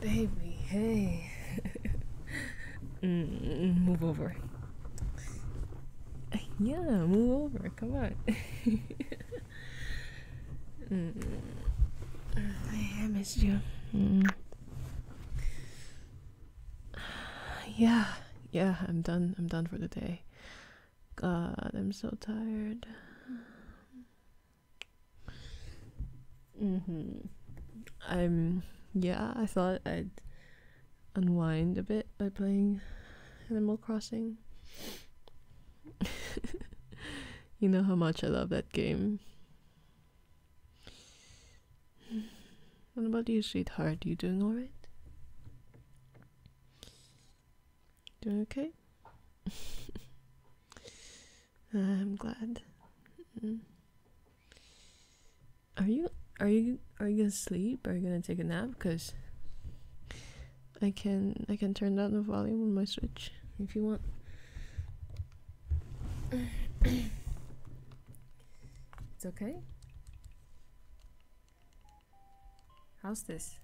Baby, hey. Mm, mm, move over. Yeah, move over. Come on. Mm. I missed you. Yeah, yeah, I'm done. I'm done for the day. God, I'm so tired. Mm-hmm. i um, yeah, I thought I'd unwind a bit by playing Animal Crossing. you know how much I love that game. What about you, sweetheart? You doing alright? Doing okay? I'm glad. Mm. Are you are you are you gonna sleep? Are you gonna take a nap? Cause I can I can turn down the volume on my switch if you want. it's okay. How's this?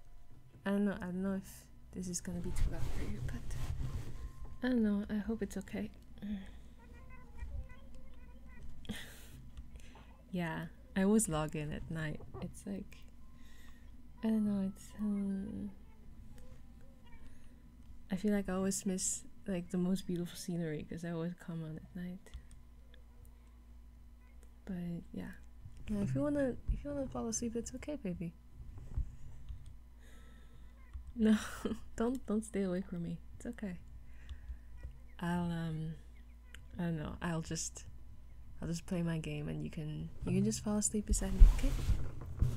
I don't know. I don't know if this is gonna be too loud for you, but I don't know. I hope it's okay. yeah, I always log in at night. It's like I don't know. It's uh, I feel like I always miss like the most beautiful scenery because I always come on at night. But yeah, if you wanna if you wanna fall asleep, it's okay, baby. No, don't don't stay away from me. It's okay. I'll um I don't know. I'll just I'll just play my game and you can you can just fall asleep beside me, okay?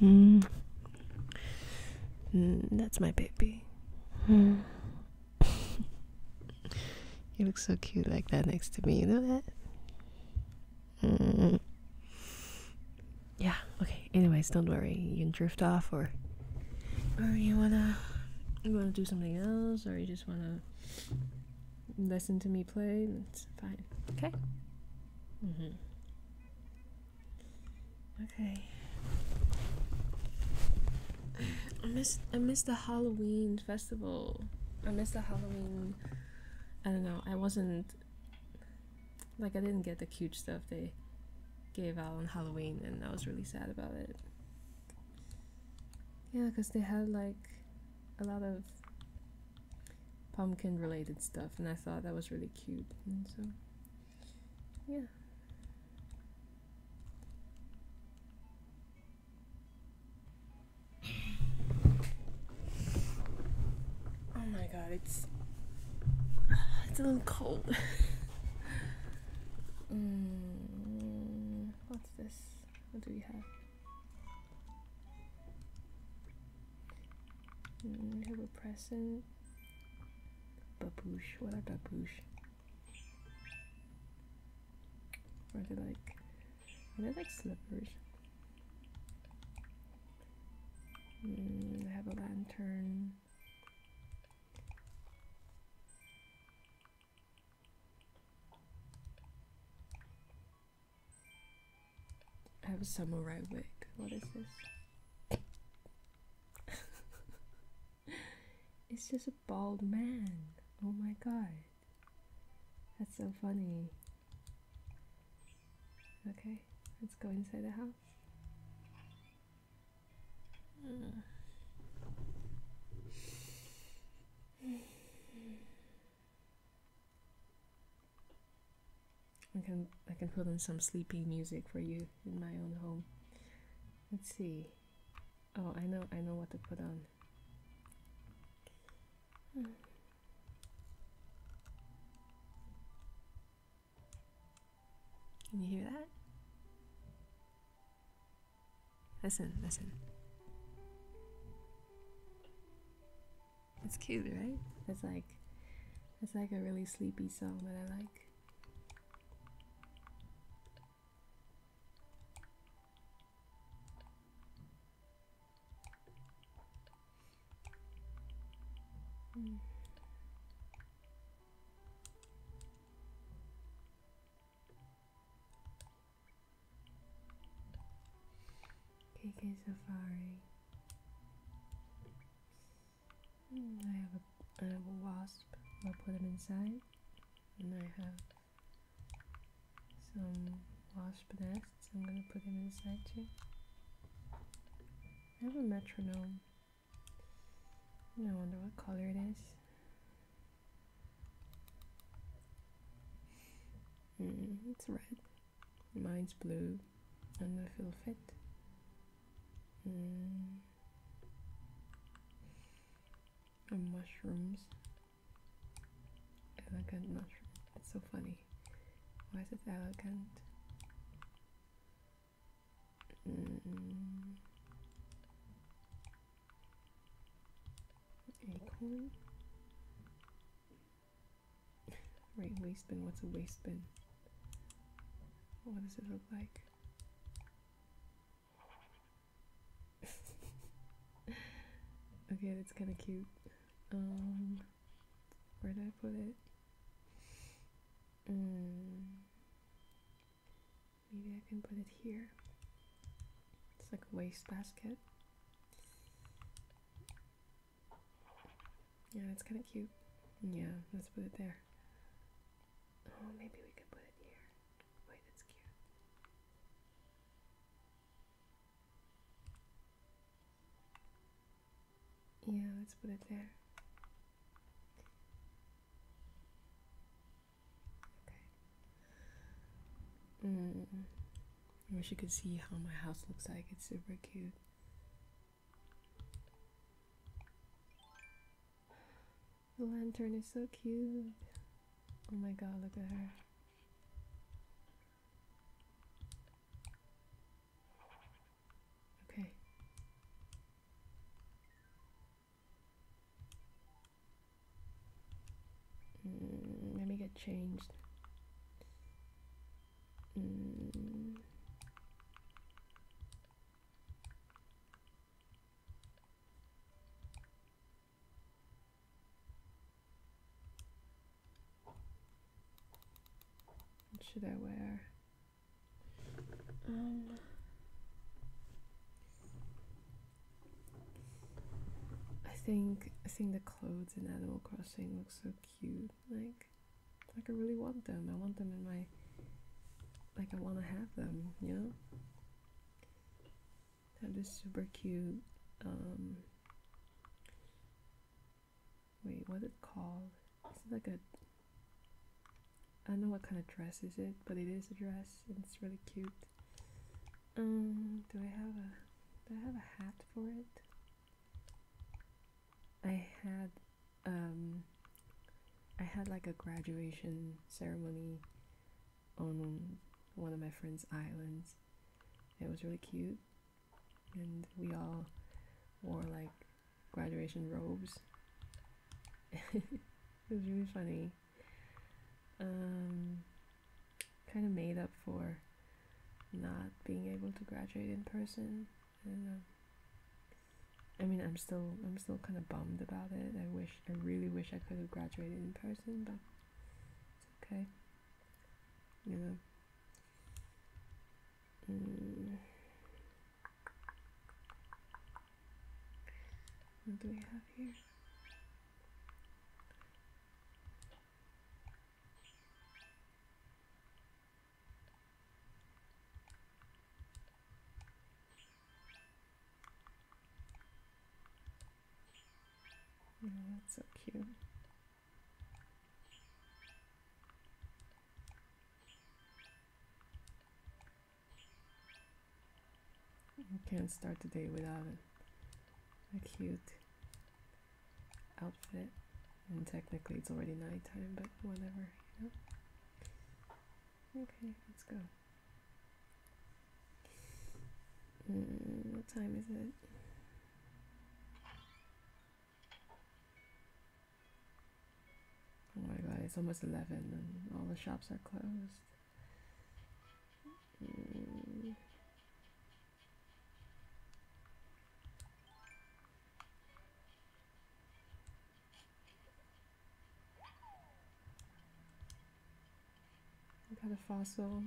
Mm. Mm, that's my baby. Mm. you look so cute like that next to me, you know that? Mm. Yeah, okay. Anyways, don't worry. You can drift off or or you wanna you wanna do something else or you just wanna listen to me play, that's fine. Okay? Mm-hmm. Okay. I miss I miss the Halloween festival. I miss the Halloween I don't know. I wasn't like I didn't get the cute stuff they gave out on Halloween, and I was really sad about it. Yeah, because they had like a lot of pumpkin related stuff, and I thought that was really cute. And so, yeah. Oh my god, it's it's a little cold. Mm, what's this? What do we have? Mm, we have a present. Babouche. What are babouche? Or it like I like slippers. Hmm, I have a lantern. I have a samurai wig. What is this? it's just a bald man. Oh my god. That's so funny. Okay, let's go inside the house. I can I can put on some sleeping music for you in my own home. Let's see. Oh, I know I know what to put on. Can you hear that? Listen, listen. It's cute, right? It's like it's like a really sleepy song that I like. Hmm. Safari. I have a wasp. I'll put him inside. And I have some wasp nests. I'm gonna put them inside too. I have a metronome. I wonder what color it is. Mm, it's red. Mine's blue. And I feel fit. Mm. And mushrooms. Elegant mushroom. It's so funny. Why is it elegant? Mm. Acorn? right, waste bin. What's a waste bin? What does it look like? okay, that's kind of cute. Um, where did I put it? Mm, maybe I can put it here. It's like a wastebasket. Yeah, it's kind of cute. Yeah, let's put it there. Oh, maybe we could put it here. Wait, that's cute. Yeah, let's put it there. Okay. Mm. I wish you could see how my house looks like. It's super cute. The lantern is so cute. Oh my god, look at her. Okay. Mm, let me get changed. Mm. What should I wear? Um, I think I think the clothes in Animal Crossing look so cute. Like, like I really want them. I want them in my. Like I want to have them. You know. They're just super cute. Um, Wait, what's it called? Is like a I don't know what kind of dress is it, but it is a dress it's really cute. Um do I have a do I have a hat for it? I had um I had like a graduation ceremony on one of my friend's islands. It was really cute and we all wore like graduation robes. it was really funny. Um, kind of made up for not being able to graduate in person. Um, I mean, I'm still I'm still kind of bummed about it. I wish I really wish I could have graduated in person, but it's okay you know mm. what do we have here mm, that's so cute. You can't start the day without a, cute outfit. And technically it's already nighttime, but whatever, Okay, let's go. Mm, what time is it? Oh my god, it's almost 11 and all the shops are closed. Mm. Got a fossil.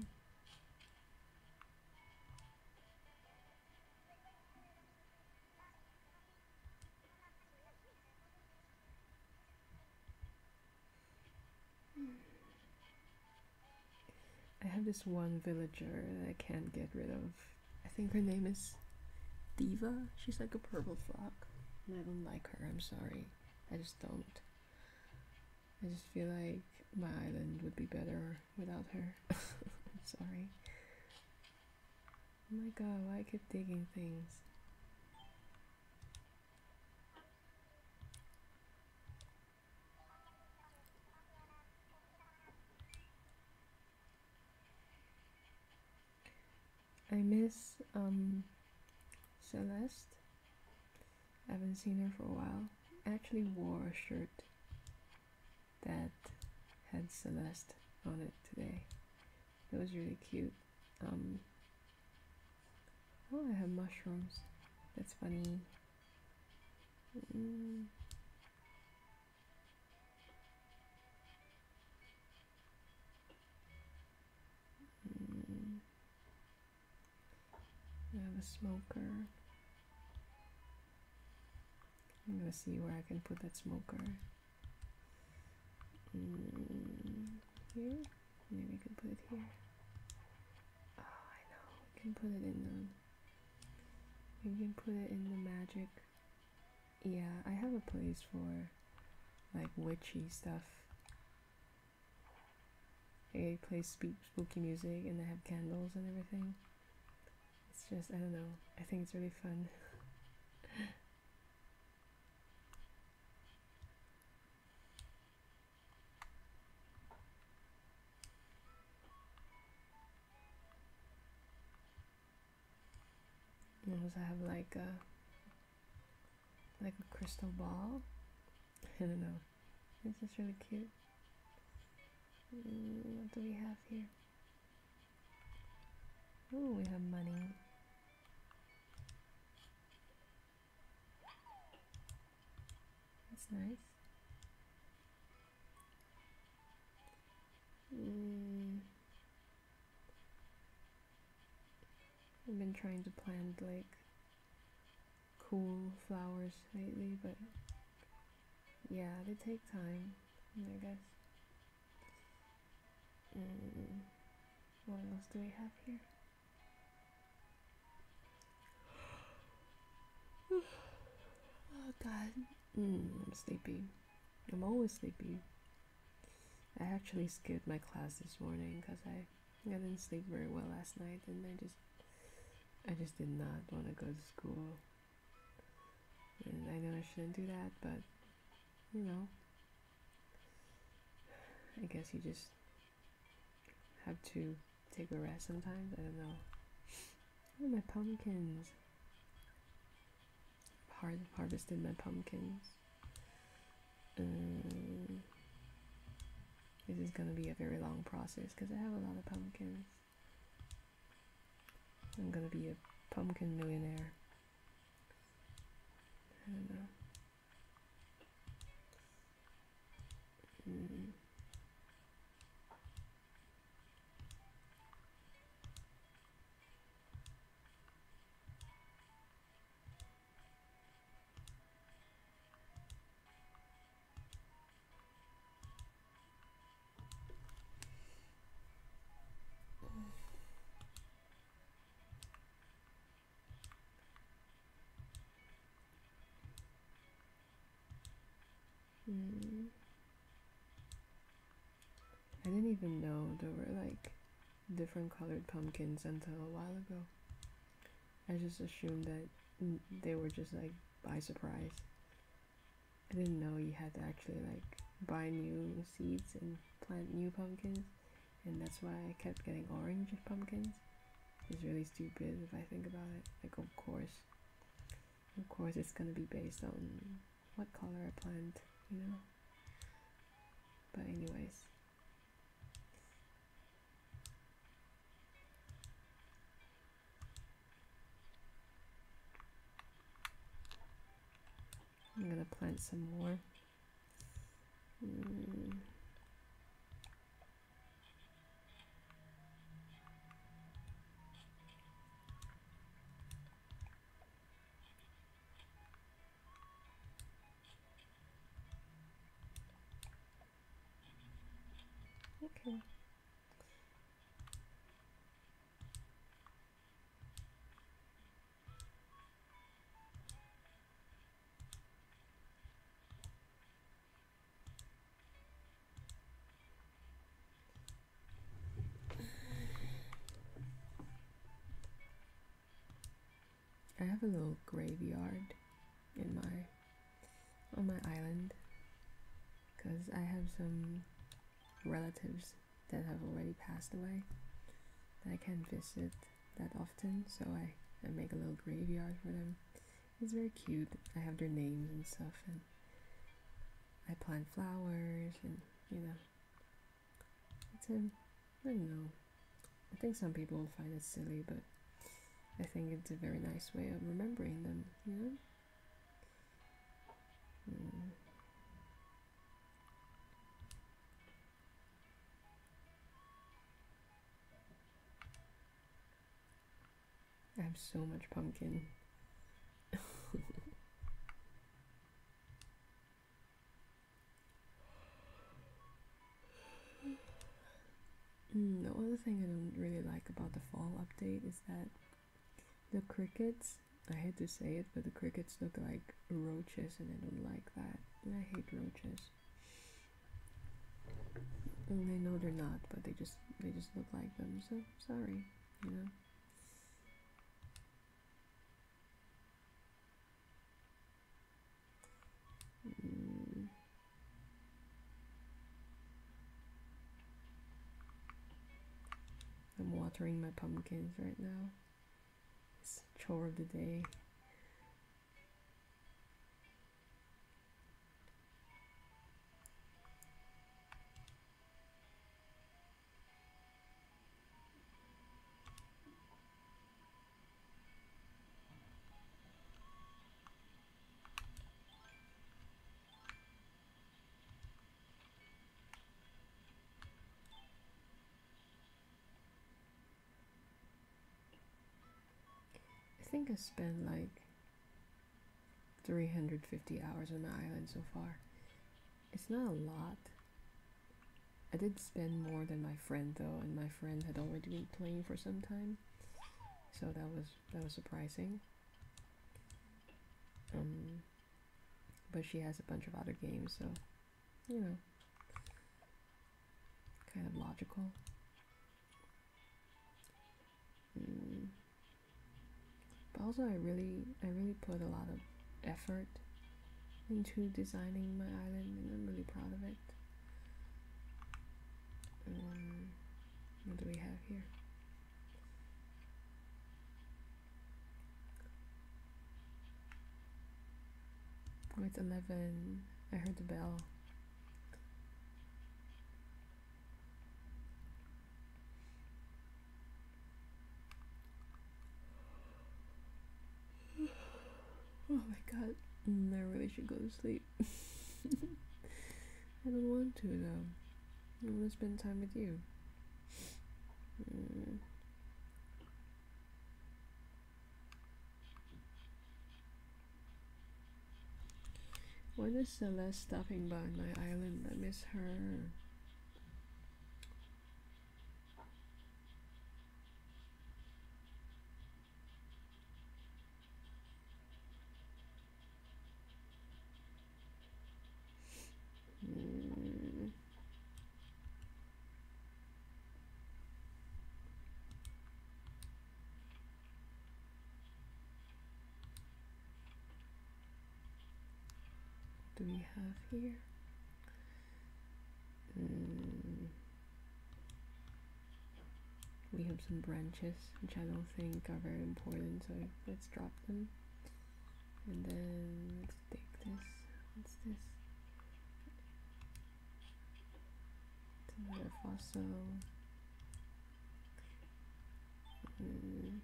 I have this one villager that I can't get rid of. I think her name is Diva. She's like a purple frog. And I don't like her, I'm sorry. I just don't. I just feel like my island would be better without her. I'm sorry. Oh my god, why I keep digging things? I miss um Celeste I haven't seen her for a while. I actually wore a shirt that had Celeste on it today. It was really cute. Um, oh, I have mushrooms. That's funny. Mm. Mm. I have a smoker. I'm gonna see where I can put that smoker. Mm, here? Maybe we can put it here. Oh, I know. We can put it in the. We can put it in the magic. Yeah, I have a place for like witchy stuff. They play spooky music and they have candles and everything. It's just, I don't know, I think it's really fun. and also have like a uh, like a crystal ball. I don't know. This is really cute. Mm, what do we have here? Oh, we have money. That's nice. Mm. I've been trying to plant like cool flowers lately, but yeah, they take time, I guess. Mm. What else do we have here? oh god. Mm, I'm sleepy. I'm always sleepy. I actually skipped my class this morning because I I didn't sleep very well last night, and I just, I just did not want to go to school. And I know I shouldn't do that, but you know, I guess you just have to take a rest sometimes. I don't know. Oh, my pumpkins. Har harvested my pumpkins. Um, this is going to be a very long process because I have a lot of pumpkins. I'm going to be a pumpkin millionaire. I don't know. Mm. Hmm. I didn't even know there were like different colored pumpkins until a while ago. I just assumed that they were just like by surprise. I didn't know you had to actually like buy new seeds and plant new pumpkins, and that's why I kept getting orange pumpkins. It's really stupid if I think about it. Like, of course, of course, it's gonna be based on what color I plant, you know. But anyways, I'm gonna plant some more. Mm. Okay. I have a little graveyard in my on my island because I have some relatives that have already passed away that I can't visit that often, so I, make a little graveyard for them. It's very cute. I have their names and stuff, and I plant flowers, and you know, it's a I don't know. I think some people will find it silly, but I think it's a very nice way of remembering them, you know? Hmm. I have so much pumpkin. Mm, the other thing I don't really like about the fall update is that the crickets, I hate to say it, but the crickets look like roaches and I don't like that. I hate roaches. And I know they're not, but they just they just look like them, so sorry, you know. Mm. I'm watering my pumpkins right now. It's chore of the day. I think I spent like 350 hours on the island so far. It's not a lot. I did spend more than my friend though, and my friend had already been playing for some time so that was that was surprising. Um, but she has a bunch of other games, so you know, kind of logical. Um, But also, I really, I really put a lot of effort into designing my island, and I'm really proud of it what do we have here? Oh, it's 11. I heard the bell. Oh my god, I really should go to sleep. I don't want to though. I want to spend time with you. Mm. When is Celeste stopping by my island? I miss her. Mm. Do we have here? Mm. We have some branches, which I don't think are very important, so let's drop them. And then let's take this. What's this? It's another fossil. Mm.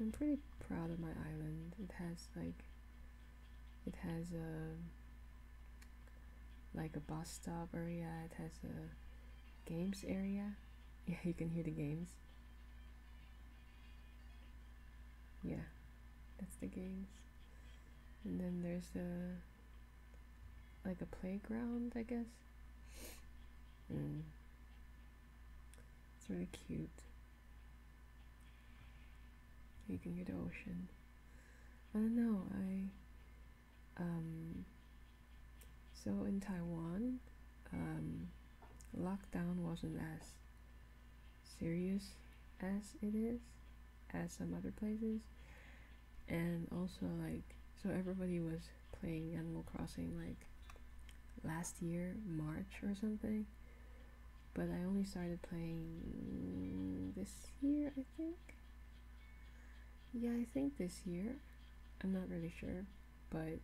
I'm pretty proud of my island. It has like it has a like a bus stop area it has a games area yeah you can hear the games yeah that's the games and then there's a like a playground i guess mm. it's really cute you can hear the ocean I don't know. I um, so in Taiwan, um, lockdown wasn't as serious as it is as some other places, and also like so everybody was playing Animal Crossing like last year March or something, but I only started playing this year yeah, I think this year. I'm not really sure, but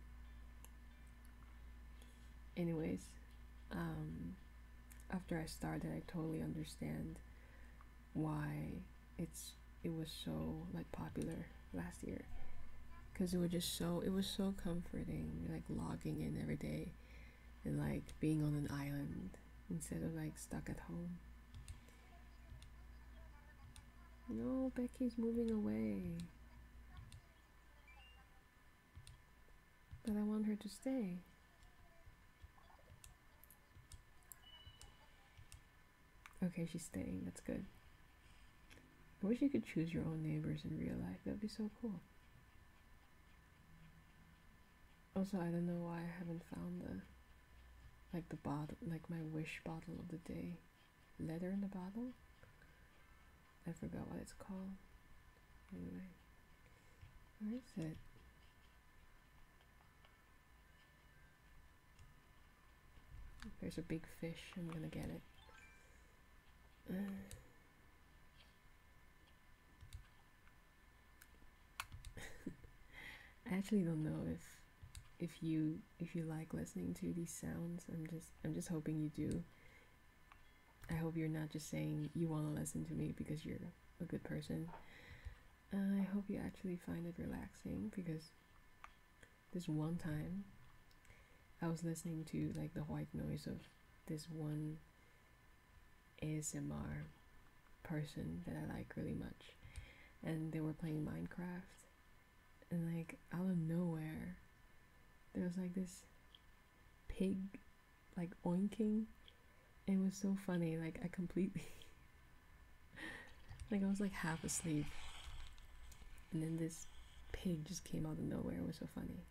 anyways, um, after I started, I totally understand why it's it was so like popular last year because it was just so it was so comforting like logging in every day and like being on an island instead of like stuck at home. No, Becky's moving away. But I want her to stay. Okay, she's staying. That's good. I wish you could choose your own neighbors in real life. That'd be so cool. Also, I don't know why I haven't found the like the bottle, like my wish bottle of the day, leather in the bottle. I forgot what it's called. Anyway, where is it? There's a big fish. I'm gonna get it. I actually don't know if if you if you like listening to these sounds. I'm just I'm just hoping you do. I hope you're not just saying you want to listen to me because you're a good person. Uh, I hope you actually find it relaxing because this one time I was listening to like the white noise of this one ASMR person that I like really much, and they were playing Minecraft, and like out of nowhere, there was like this pig, like oinking. It was so funny. Like I completely, like I was like half asleep, and then this pig just came out of nowhere. It was so funny.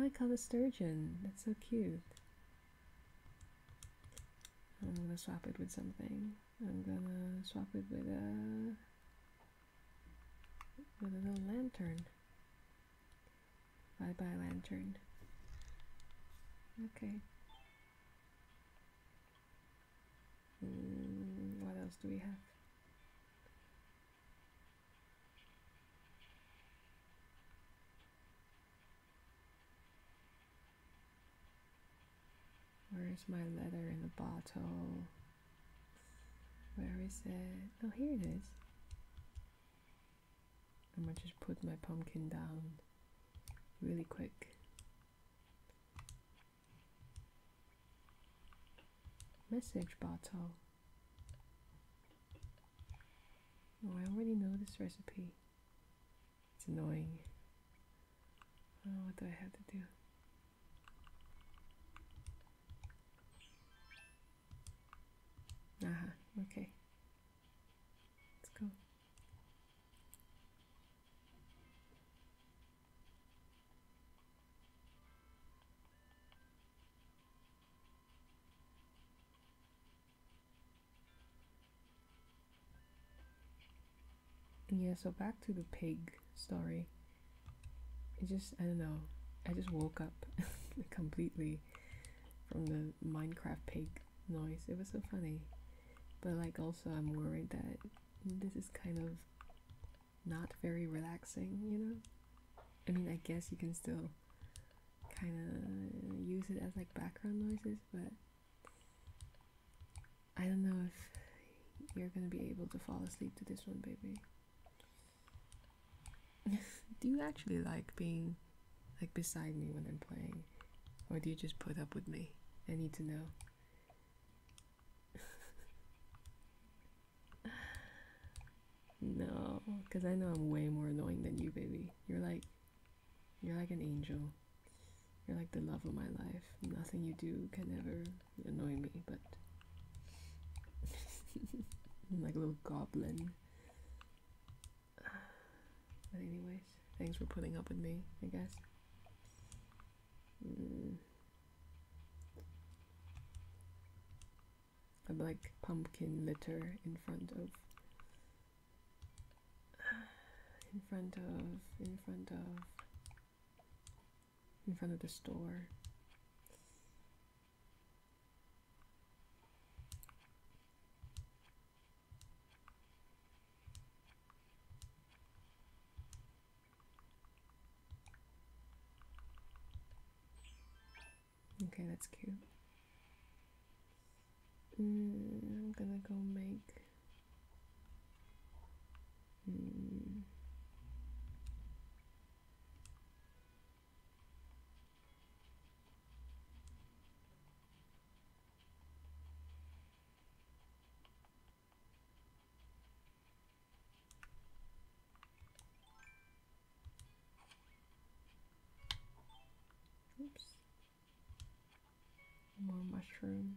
I call the sturgeon. That's so cute. I'm gonna swap it with something. I'm gonna swap it with a with a little lantern. Bye bye lantern. Okay. Hmm, what else do we have? Where's my letter in the bottle? Where is it? Oh, here it is. I'm gonna just put my pumpkin down really quick. Message bottle. No, oh, I already know this recipe. It's annoying. what do I have to do? Aha, uh -huh, okay. Let's go yeah so back to the pig story it just i don't know i just woke up completely from the minecraft pig noise it was so funny but like also i'm worried that this is kind of not very relaxing you know i mean i guess you can still kind of use it as like background noises, but I don't know if you're gonna be able to fall asleep to this one, baby. do you actually like being like beside me when I'm playing, or do you just put up with me? I need to know. No, because I know I'm way more annoying than you, baby. You're like, you're like an angel. You're like the love of my life. Nothing you do can ever annoy me, but I'm like a little goblin. But anyways, thanks for putting up with me, I guess. Mm a like pumpkin litter in front of in front of in front of in front of the store Okay, that's cute. Mm, I'm gonna go make. Mm. Oops. More mushroom.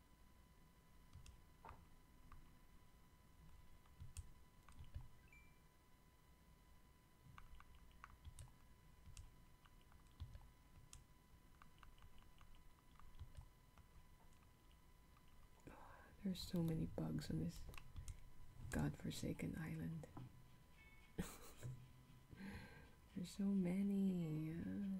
There's so many bugs on this god-forsaken island. There's so many. Uh,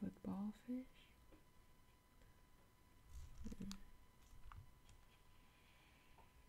football fish.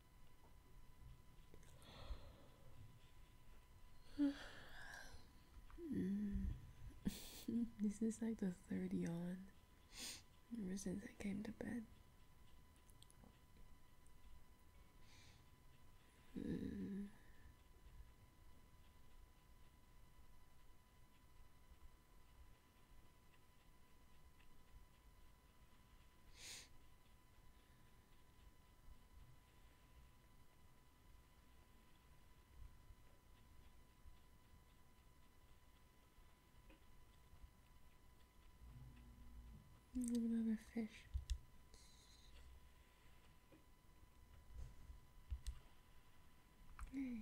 this is like the third yawn ever since I came to bed. Mm. Another fish. Hey.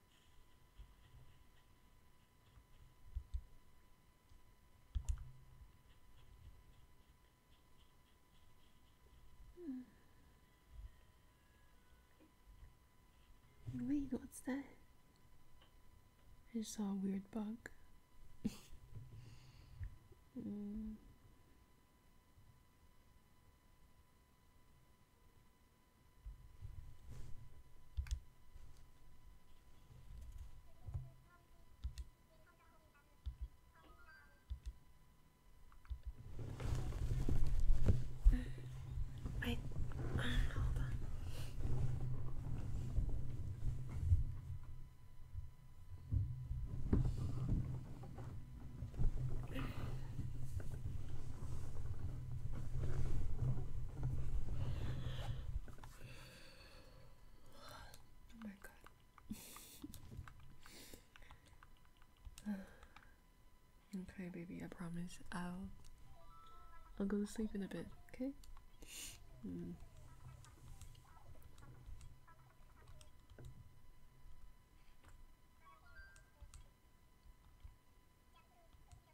Wait, what's that? I saw a weird bug. Hmm. I um, hold Oh okay, baby, I promise I'll I'll go to sleep in a bit, okay? Hmm.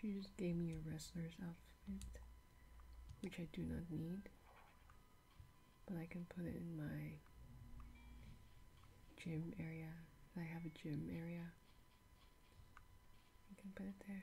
She just gave me a wrestler's outfit, which I do not need, but I can put it in my gym area. I have a gym area you can put it there.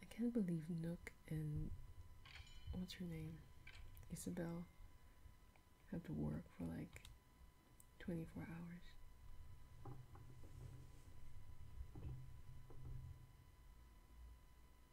I can't believe Nook and what's her name? Isabel had to work for like 24 hours.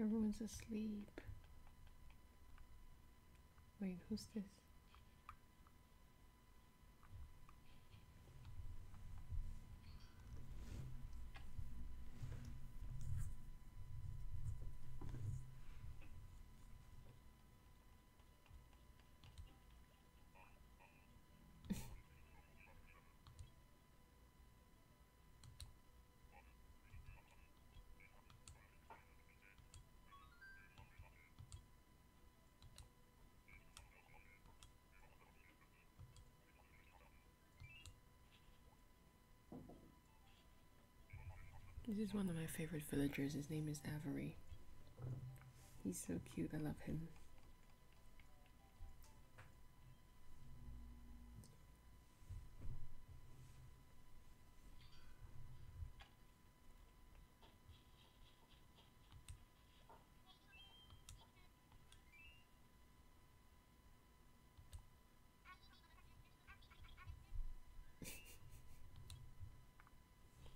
Everyone's asleep. Wait, who's this? This is one of my favorite villagers. His name is Avery. He's so cute. I love him.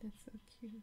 That's so cute.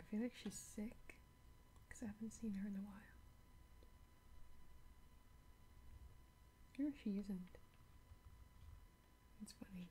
I feel like she's sick because I haven't seen her in a while. No, she isn't. It's funny.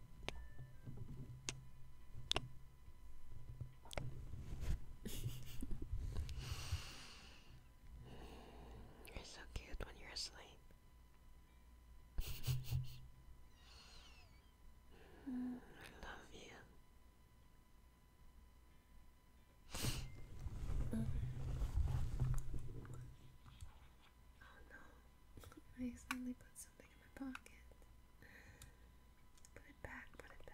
you're so cute when you're asleep. I love you. Mm-hmm. Oh no, I accidentally put something in my pocket. Put it back, put it back.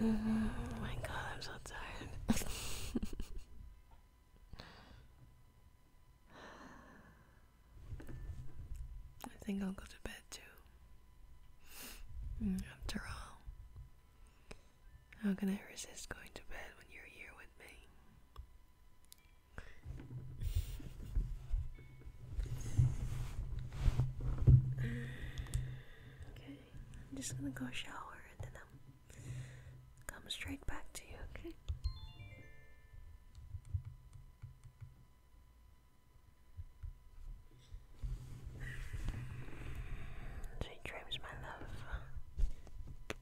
Oh my god, I'm so tired. I think I'll go to bed too. Mm, after all, how can I resist going to bed when you're here with me? Okay, I'm just gonna go shower and then I'll come straight back to you, okay? Sweet dreams, my love.